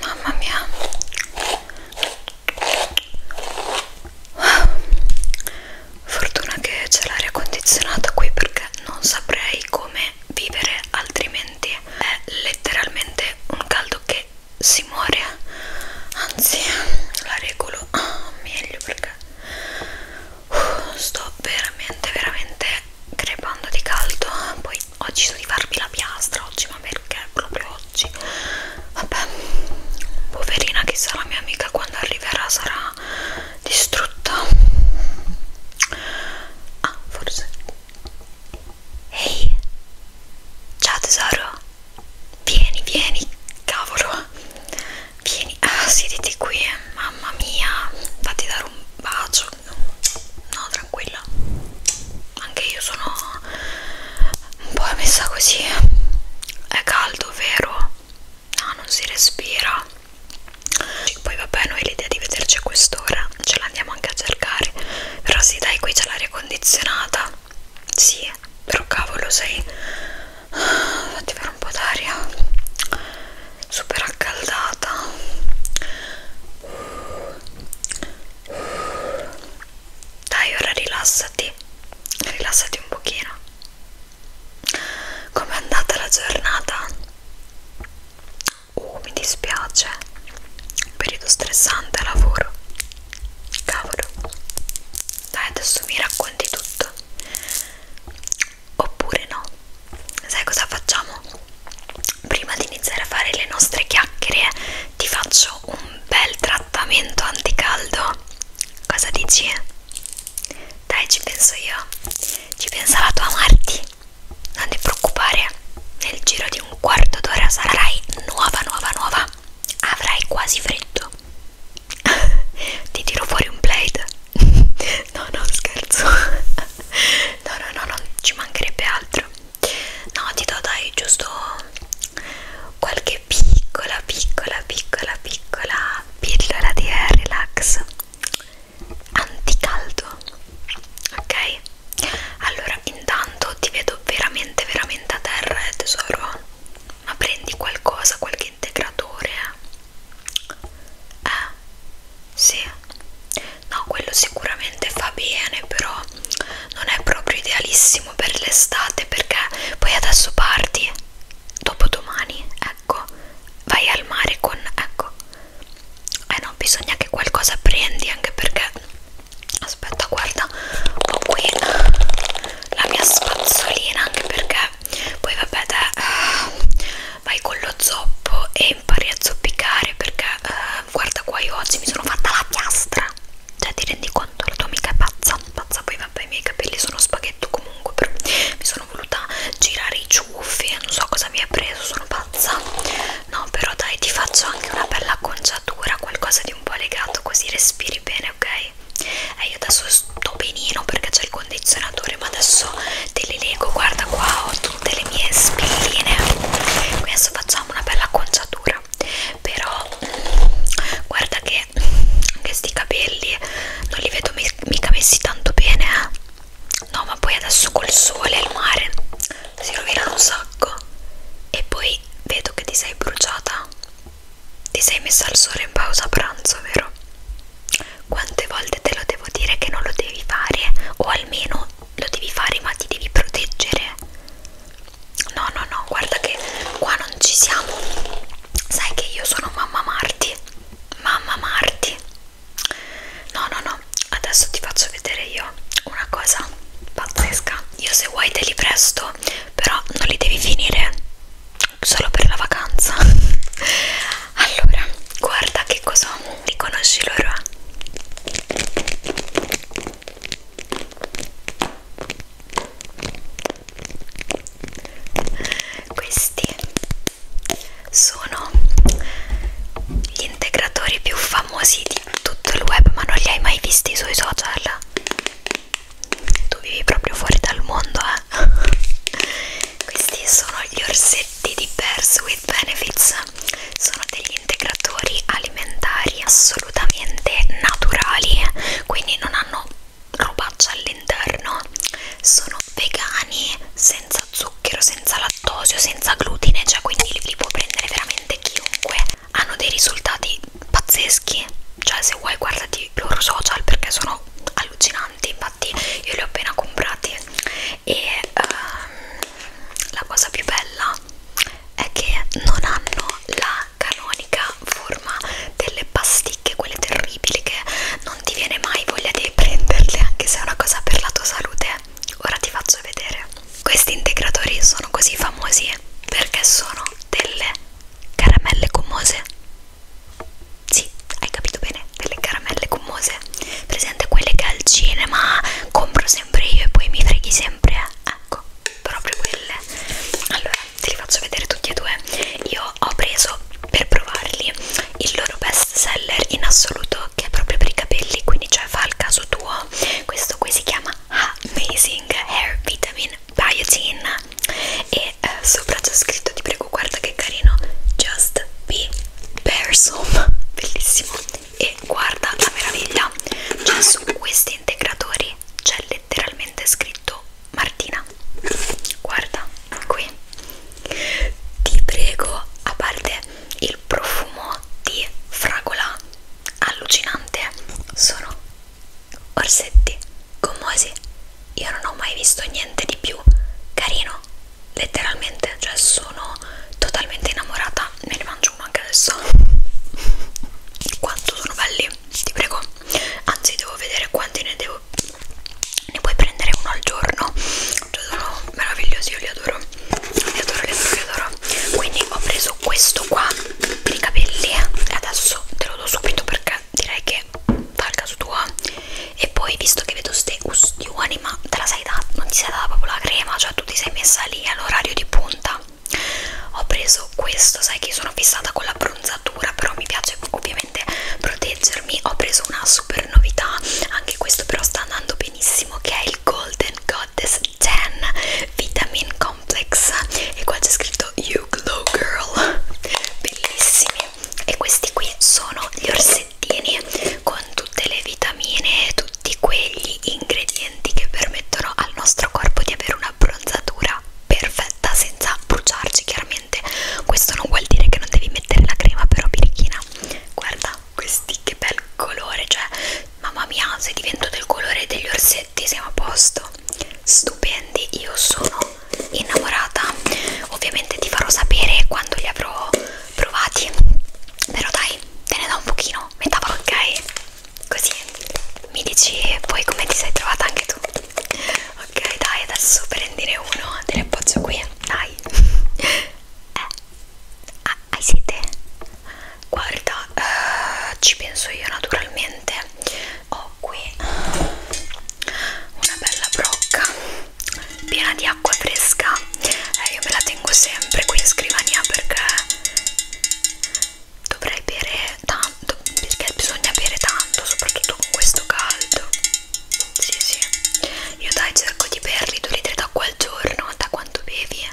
Mamma mia. Fortuna che c'è l'aria condizionata qui perché non saprei come vivere altrimenti. È letteralmente un caldo che si muore. Anzi, la regolo ah, meglio perché sto veramente veramente crepando di caldo poi ho deciso di farvi la piastra oggi ma perché proprio oggi vabbè poverina chissà la mia amica quando arriverà sarà distrutta ah forse ehi hey. ciao tesoro vieni vieni cavolo vieni, ah, siediti qui, eh. mamma mia, fatti dare un bacio, no, tranquilla, anche io sono un po' messa così, è caldo, vero? No, non si respira, poi vabbè, noi l'idea di vederci a quest'ora ce l'andiamo anche a cercare, però sì, dai, qui c'è l'aria condizionata, sì, però cavolo, sei... Fatti ah, fare un po' d'aria super accaldata dai ora rilassati rilassati un pochino com'è andata la giornata? Uh, mi dispiace un periodo stressante lavoro cavolo dai adesso mi racconti tutto oppure no. Sai cosa facciamo? Prima di iniziare a fare le nostre chiacchiere ti faccio un bel trattamento anticaldo. Cosa dici? Dai, ci penso io. Ci pensa la tua Marti. Non ti preoccupare, nel giro di un quarto d'ora sarai nuova, nuova, nuova. Avrai quasi freddo. ti tiro fuori un blade. no no scherzo no no no non ci mancherebbe altro no ti do dai giusto qualche piccola piccola piccola piccola pillola di air relax anticaldo ok allora intanto ti vedo veramente veramente a terra eh, tesoro ma prendi qualcosa qualche integratore eh? eh sì no quello sicuramente fa bene però non è proprio idealissimo per l'estate perché poi adesso parti dopodomani ecco vai al mare con ecco eh no bisogna che qualcosa prendi anche perché aspetta guarda ho qui la mia spazzolina anche perché poi vabbè te, eh, vai con lo zoppo e impari a zoppicare perché eh, guarda qua io oggi mi sono fatta la piastra cioè ti rendi conto la tua amica è pazza pazza poi vabbè i miei capelli sono spaghetto comunque però mi sono voluta girare i ciuffi non so cosa mi ha preso sono pazza no però dai ti faccio anche una bella acconciatura qualcosa di un po' legato così respiri bene ok e eh, io adesso sto benino perché c'è il condizionatore ma adesso te li leggo guarda qua ho tutte le mie spilline qui adesso facciamo una bella conciatura però mm, guarda che anche sti capelli non li vedo mica messi tanto bene eh? no ma poi adesso col sole al mare si rovinano un sacco e poi vedo che ti sei bruciata ti sei messa al sole in pausa pranzo vero? quante volte te lo devo dire che non lo devi fare o almeno lo devi fare ma ti devi proteggere no no no guarda che qua non ci siamo sai che io sono mamma Marti mamma Marti no no no adesso ti faccio vedere io una cosa pazzesca io se vuoi te li presto però non li devi finire solo per la vacanza allora guarda che cosa riconosci loro questi sono gli integratori più famosi di tutto il web ma non li hai mai visti sui social tu vivi proprio fuori dal mondo eh? questi sono gli orsetti di Pers with Benefits sono degli integratori alimentari assolutamente naturali quindi non hanno robaccia all'interno sono vegani senza zucchero senza lattosio senza glutine cioè quindi li, li può prendere veramente chiunque hanno dei risultati pazzeschi cioè se vuoi guardati i loro social perché sono allucinanti infatti io li ho appena comprati e um, la cosa più bella è che non hanno la canonica forma delle pasticche, quelle terribili che non ti viene mai voglia di prenderle anche se è una cosa per la tua salute ora ti faccio vedere questi integratori sono così famosi perché sono delle caramelle gommose sì, hai capito bene, delle caramelle gommose. Presente quelle che al cinema compro sempre io e poi mi freghi sempre. Eh? Ecco, proprio quelle. Allora, te li faccio vedere tutti e due. Io ho preso per provarli il loro best seller in assoluto, che è proprio per i capelli, quindi cioè fa il caso tuo. Questo qui si chiama Amazing Hair Vitamin Biotin e eh, sopra c'è scritto di preparazione prego guarda che carino Just Be Person bellissimo e guarda la meraviglia cioè su questi integratori c'è letteralmente scritto Martina guarda qui ti prego a parte il profumo di fragola allucinante sono orsetti gommosi io non ho mai visto niente di più carino letteralmente cioè sono totalmente innamorata me ne mangio uno anche adesso quanto sono belli ti prego anzi devo vedere quanti ne devo ne puoi prendere uno al giorno cioè sono meravigliosi io li adoro li adoro li adoro li adoro quindi ho preso questo qua per i capelli e eh. adesso te lo do subito perché direi che fa il caso tuo e poi visto che vedo ste ustioni ma te la sei data, non ti sei data proprio la crema cioè tu ti sei messa lì all'orario di punta ho preso questo sai che sono fissata con la bronzatura però mi piace ovviamente proteggermi ho preso una super novità anche questo però sta andando benissimo che è il Golden Goddess 10 Vitamin Complex e qua c'è scritto You Glow Girl bellissimi e questi qui sono gli orsettini con tutte le vitamine e tutti quegli ingredienti che permettono al nostro corpo di avere una bronzatura perfetta senza bruciarci chiaramente questo non vuol dire che non devi mettere la crema però birichina guarda questi che bel colore cioè mamma mia se divento del colore degli orsetti siamo a posto stupendi io sono innamorata ovviamente ti farò sapere quando li avrò provati però dai te ne do un pochino metà ok così mi dici poi come ti sei trovata anche tu ok dai adesso prendine uno te ne appoggio qui dai eh ah, hai sete guarda eh, ci penso io naturalmente ho qui una bella brocca piena di acqua fresca eh, io me la tengo sempre qui in scrivania perché dovrei bere tanto perché bisogna bere tanto soprattutto con questo caldo sì sì io dai cerco di berli 2 litri d'acqua al giorno da quanto bevi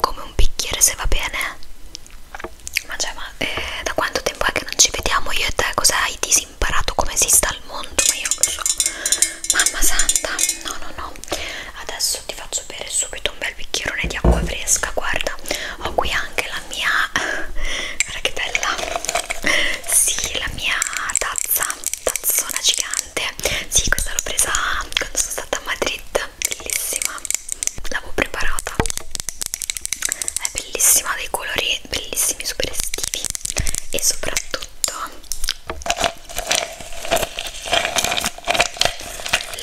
come un bicchiere se va bene ma cioè ma eh, da quanto tempo è che non ci vediamo io e te cosa hai disinfezionato imparato come si sta al mondo, ma io lo so. Mamma santa, no, no, no. Adesso ti faccio bere subito un bel bicchierone di acqua fresca. Guarda, ho qui anche la mia. Guarda che bella! Sì, la mia tazza, tazzona gigante. Sì, questa l'ho presa quando sono stata a Madrid. Bellissima, l'avevo preparata. È bellissima dei colori e bellissimi super estivi e soprattutto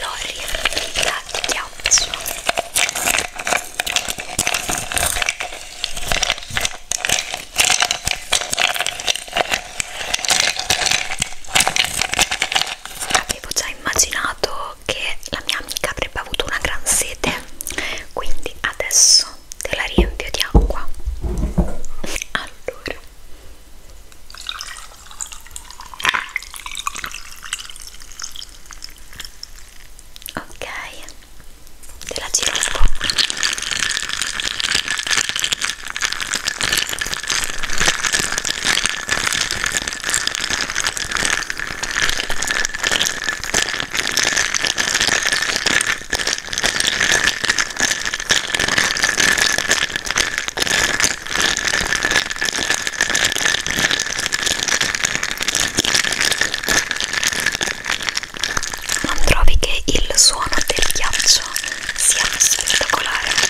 l'ho riempita di ghiaccio avevo già immaginato che la mia amica avrebbe avuto una gran sete quindi adesso te la riempio di acqua allora ok te la giro un po' Non trovi che il suono del ghiaccio sia spettacolare?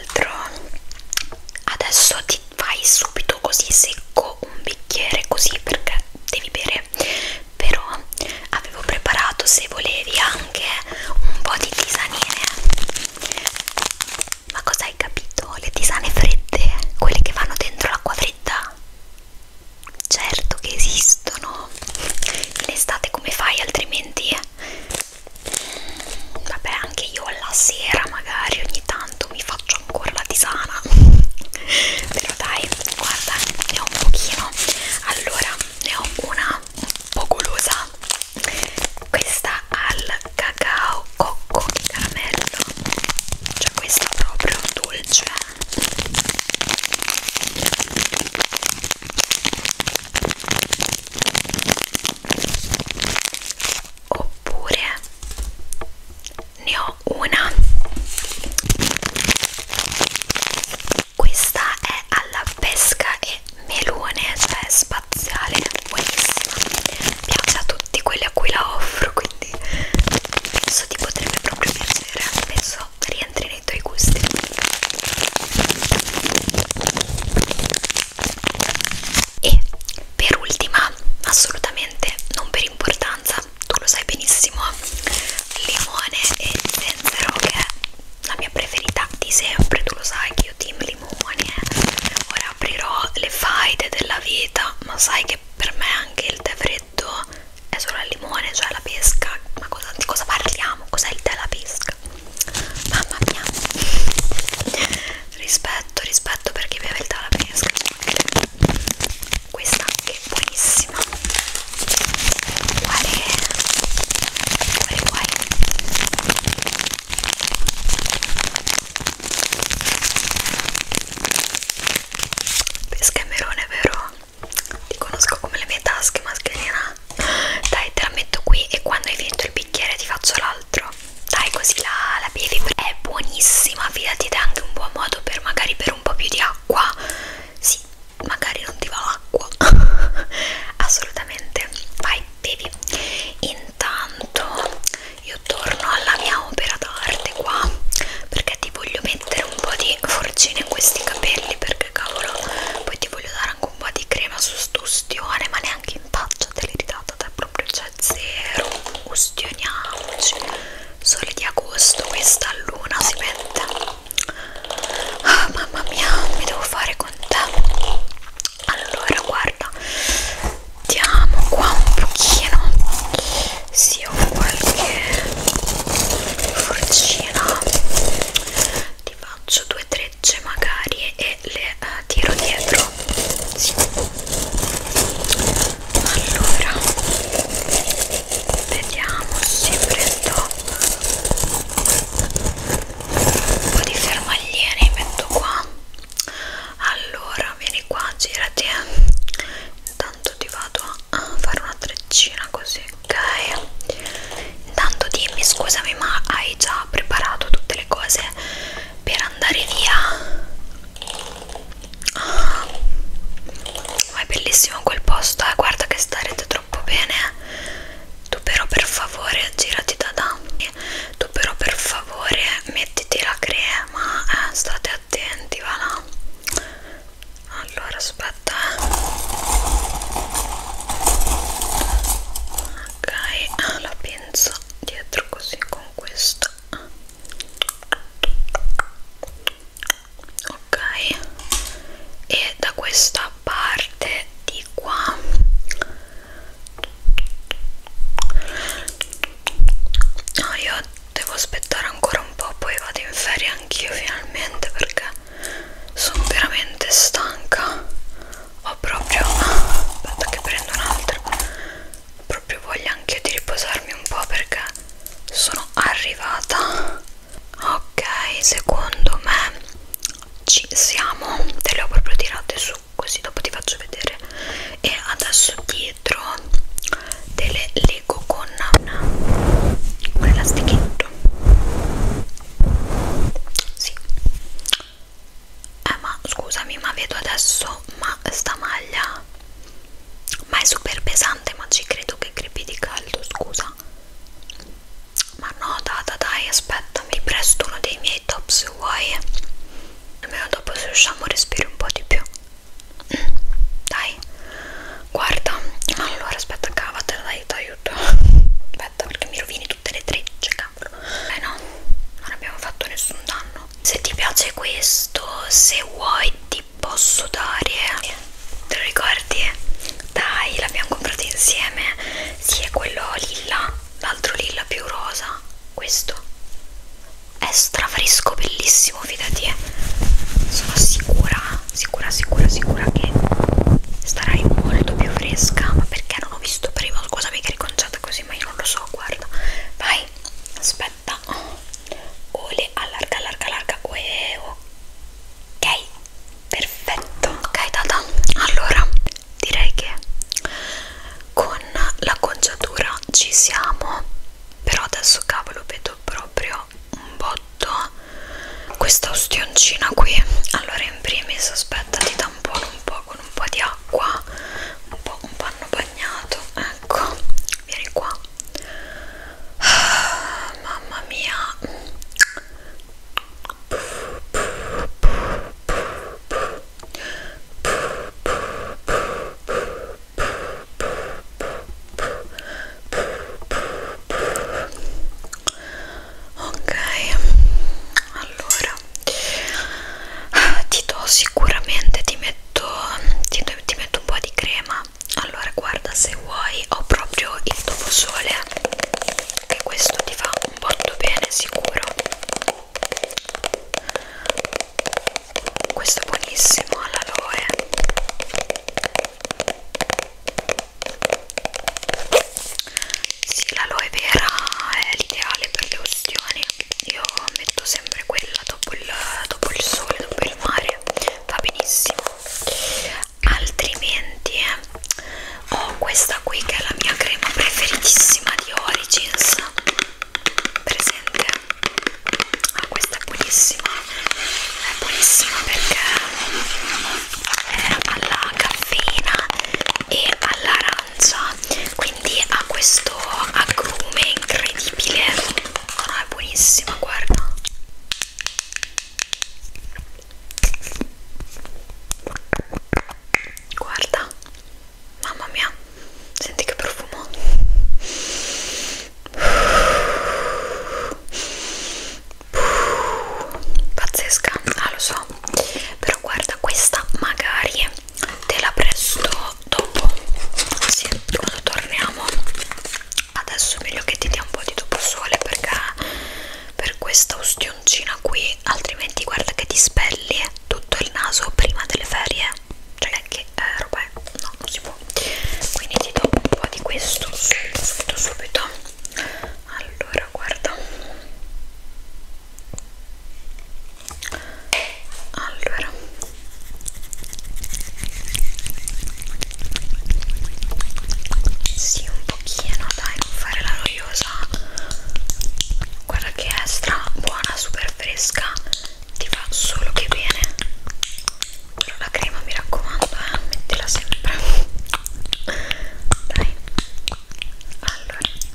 l'altro adesso ti fai subito così secco un bicchiere così perché devi bere però avevo preparato se volevi anche un po' di tisanine ma cosa hai capito? le tisane fredde quelle che vanno dentro l'acqua fredda certo che esistono in estate come fai altrimenti vabbè anche io alla sera magari ogni tanto mi faccio ancora la tisana però dai guarda ne ho un pochino allora ne ho una un po' golosa questa al cacao cocco e caramello cioè questa proprio dolce oppure ne ho una questa è alla pesca e melone cioè è spaziale buonissima piace a tutti quelli a cui la offro quindi penso ti potrebbe proprio piacere penso rientri nei tuoi gusti e per ultima assolutamente non per importanza tu lo sai benissimo limone e zenzero che è la mia preferita di sempre tu lo sai che io team limoni eh. ora aprirò le faide della vita ma sai che per me anche il tè freddo è solo al limone cioè la pesca ma cosa, di cosa parliamo? cos'è il tè alla pesca? mamma mia rispetto rispetto per chi beve il talapesca questa che è buonissima quale quale quale pesca e merone vero ti conosco come le mie tasche mascherina dai, te la metto qui e quando hai finito il bicchiere ti faccio l'altro. Dai, così la, la bevi. È buonissima, fidati, ed è anche un buon modo per magari bere un po' più di acqua. Sì, magari non ti va l'acqua. Assolutamente. Vai, bevi. Intanto io torno alla mia opera d'arte qua perché ti voglio mettere un po' di forcina in questi capelli perché cavolo poi ti voglio dare anche un po' di crema su sto ustione ma neanche anche in faccia te l'hai ridata te proprio c'è cioè, zero ustioniamoci sole di agosto questa luna si mette ah, mamma mia mi devo fare con te allora guarda diamo qua un pochino sì ho qualche forcina ti faccio due tre frecce magari e le uh, tiro dietro sì. allora vediamo se prendo un po' di fermagliere metto qua allora vieni qua girati intanto ti vado a fare una treccina così ok intanto dimmi scusami ma hai già preparato tutte le cose per andare via ah, ma è bellissimo quel posto eh? guarda che starete troppo bene tu però per favore girati da danni tu però per favore mettiti la crema eh? state attenti va là allora aspetta eh. ok ah, la penna lenza dietro così con questa ok e da questa parte di qua no io devo aspettare ancora un po' poi vado in ferie anch'io finalmente perché sono veramente stanca ho proprio aspetta che prendo un altro ho proprio voglia anche di riposarmi un po' perché sono arrivata ok secondo me ci siamo te le ho proprio tirate su così dopo ti faccio vedere e adesso dietro delle lego con un elastichetto sì eh ma scusami ma vedo adesso ma sta maglia ma è super pesante ma ci credo che crepi di caldo scusa ma no data dai aspetta mi presto uno dei miei top se vuoi almeno dopo se usciamo respiri un po' di più mm, dai guarda allora aspetta cavatela dai ti aiuto aspetta perché mi rovini tutte le trecce cavolo eh no non abbiamo fatto nessun danno se ti piace questo se vuoi ti posso dare eh. te lo ricordi dai l'abbiamo comprato insieme si sì, è quello lilla l'altro lilla più rosa questo è strafresco bellissimo fidati eh. sono sicura sicura sicura sicura che starai molto più fresca ma perché non ho visto prima scusami che riconciato fatta così ma io non lo so guarda vai aspetta ole allarga allarga allarga Uè, ok perfetto ok tata allora direi che con l'acconciatura ci siamo però adesso cavolo vedo proprio un botto questa ostioncina qui allora in primis aspetta ti tampono un po' con con un po' di acqua, un po' un panno bagnato, ecco, vieni qua. Ah, mamma mia ok allora ti do sicuramente ti metto ti, ti metto un po' di crema allora guarda se vuoi ho proprio il doposole che questo ti fa un botto bene sicuro questo è buonissimo all'aloe sì l'aloe vera è l'ideale per le ustioni io metto sempre quella dopo il, dopo il sole dopo il mare va benissimo altrimenti eh, ho questa qui che è la mia crema preferitissima di Origins presente ah, questa è buonissima è buonissima perché è alla caffeina e all'arancio arancia quindi ha questo agrume incredibile no, no è buonissima guarda guarda mamma mia senti che profumo pazzesca ah lo so però guarda questa magari te la presto dopo sì, quando torniamo adesso è meglio che ti dia un po' di dopo sole perché per questa ustioncina qui altrimenti guarda che ti spelli tutto il naso prima delle ferie cioè che eh, roba è no non si può quindi ti do un po' di questo subito subito subito allora ancora guarda allora sì un pochino dai non fare la noiosa guarda che è stra buona super fresca ti fa solo che bene però la crema mi raccomando eh mettila sempre dai allora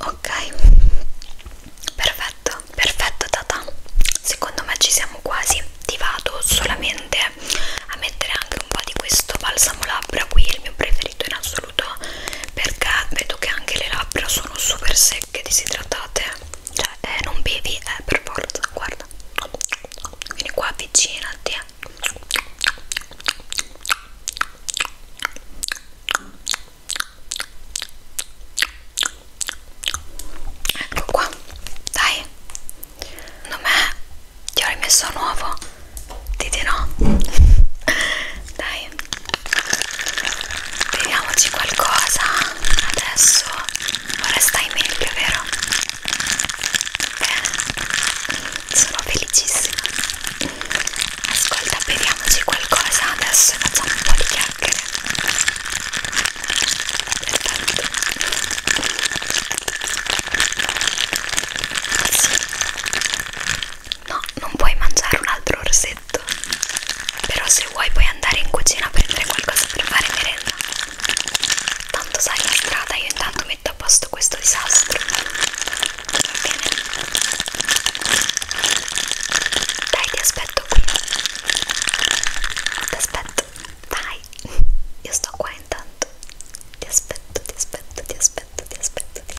Ok, perfetto, perfetto Tata. Secondo me ci siamo quasi. Ti vado solamente a mettere anche un po' di questo balsamo labbra qui, il mio preferito in assoluto saluto perché vedo che anche le labbra sono super secche, disidratate cioè eh, non bevi eh, per forza guarda vieni qua avvicinati ecco qua dai secondo me ti ho rimesso nuovo ti dirò dai vediamoci qualcosa adesso ora stai meglio vero? bene sono felicissima ascolta vediamoci qualcosa adesso facciamo un po' di chiacchiere perfetto sì No, non puoi mangiare un altro orsetto. Però se vuoi puoi andare in cucina a prendere qualcosa per fare merenda. Tanto sai la strada, io intanto metto a posto questo disastro. Bene. Dai, ti aspetto qui. Ti aspetto. Dai. Io sto qua intanto. Ti aspetto, ti aspetto, ti aspetto, ti aspetto.